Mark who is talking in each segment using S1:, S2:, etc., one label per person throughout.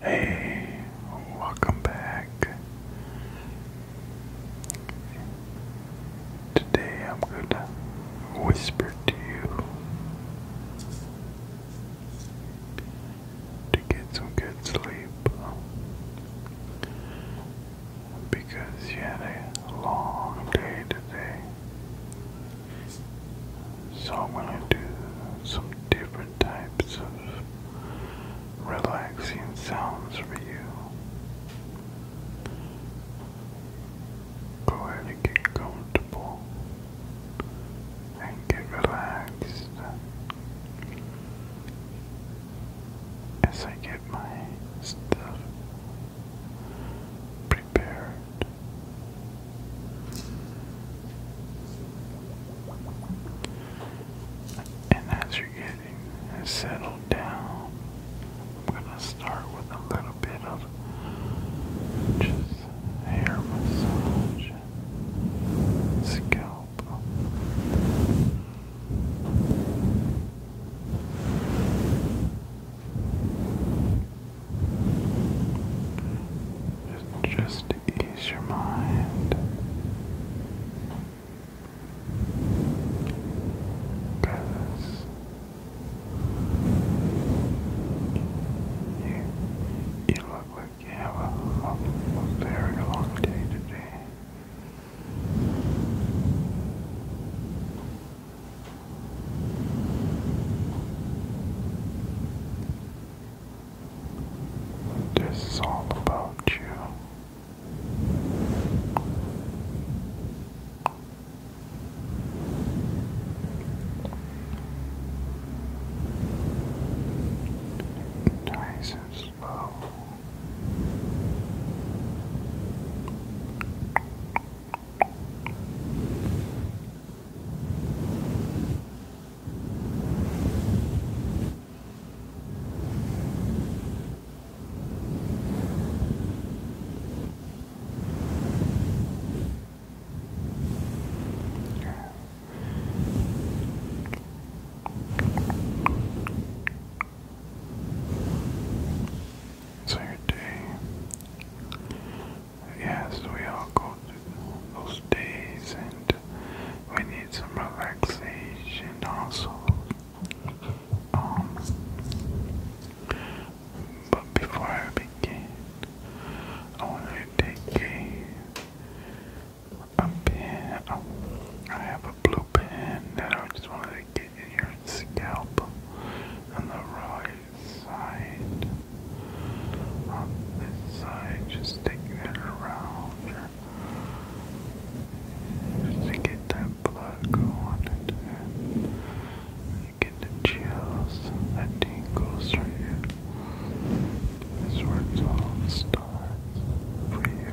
S1: Hey, welcome back. Today I'm going to whisper to you to get some good sleep because you had a long day today. So I'm gonna do some different types of relaxing sounds for you. Go ahead and get comfortable and get relaxed as I get my stuff. And as you're getting settled down, I'm going to start with a little bit of just hair massage, scalp. Just, to ease your mind. Because you, you look like you have a very long day today. This is all about you. Nice and slow. So your day yes, we all go through those days, and we need some relaxation also. Um, but before I begin, I want to take a, pen. Oh, I have a blue pen that I just wanted to get in your scalp and the really this side. On this side, just taking it around just get that blood going get the chills, the tingles for you. This works all starts for you.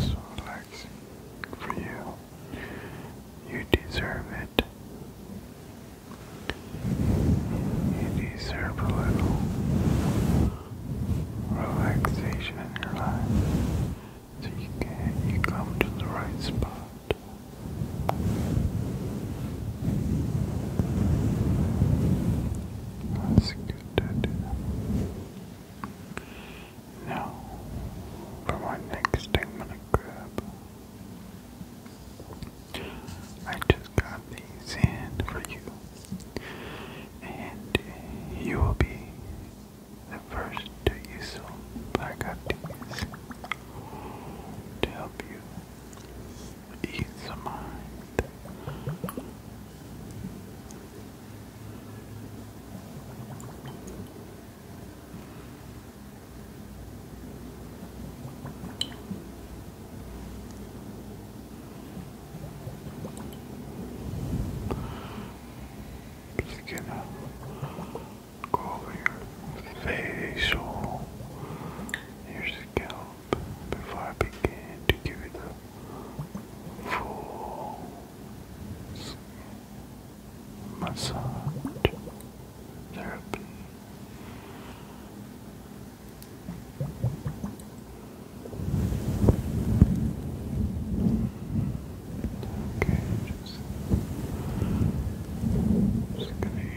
S1: so relaxing for you. You deserve it. You deserve a little relaxation in your life so you can you come to the right spot. That's good interested. Now, for my next thing I'm gonna grab, I just got these in for you, and you will be the first to use them. I got these to help you ease of mind. Just gonna go over your facial, before I begin to give it a full massage therapy. Okay, just, just gonna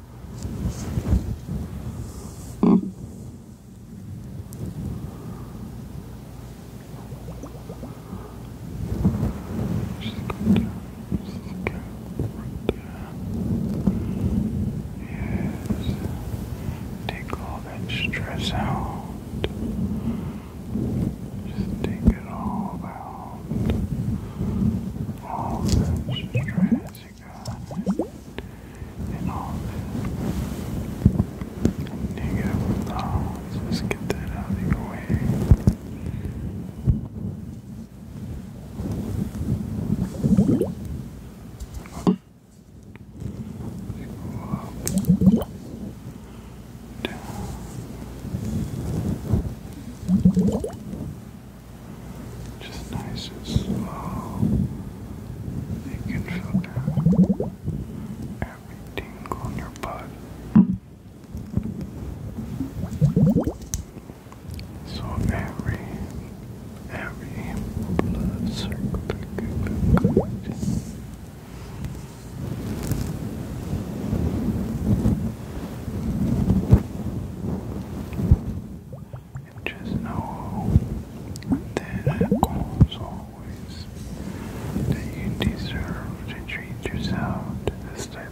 S1: Yes. Take all that stress out. Just take it all out. All that stress as you all negative thoughts. Just get that out of your way. up, down, just nice and slow. You can filter every tingle in your butt. So every every blood circle just know that, as always, that you deserve to treat yourself this type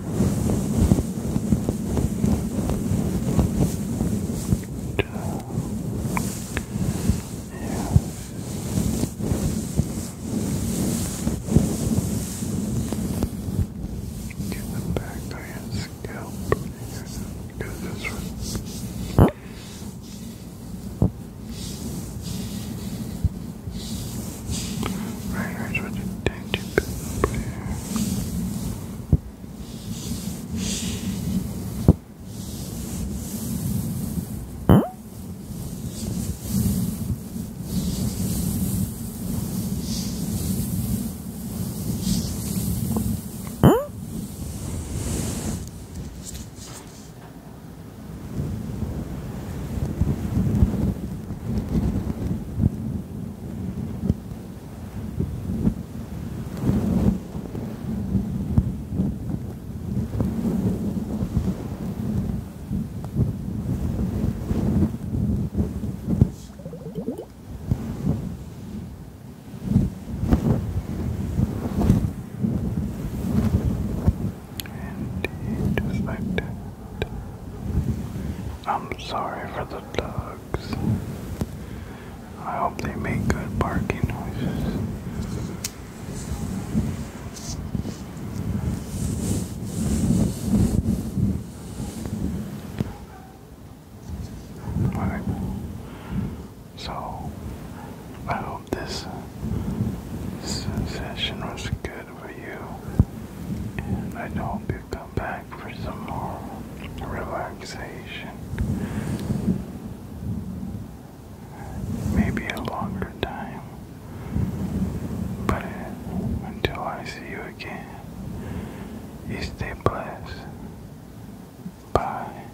S1: Get back to your scalp. Do this one. Right here's what you tend to put over here. Right, and just like that. I'm sorry for the dogs. I hope they make good barking noises. Alright. So, I hope this session was good for you. I hope you come back for some more relaxation. Maybe a longer time. But until I see you again, you stay blessed. Bye.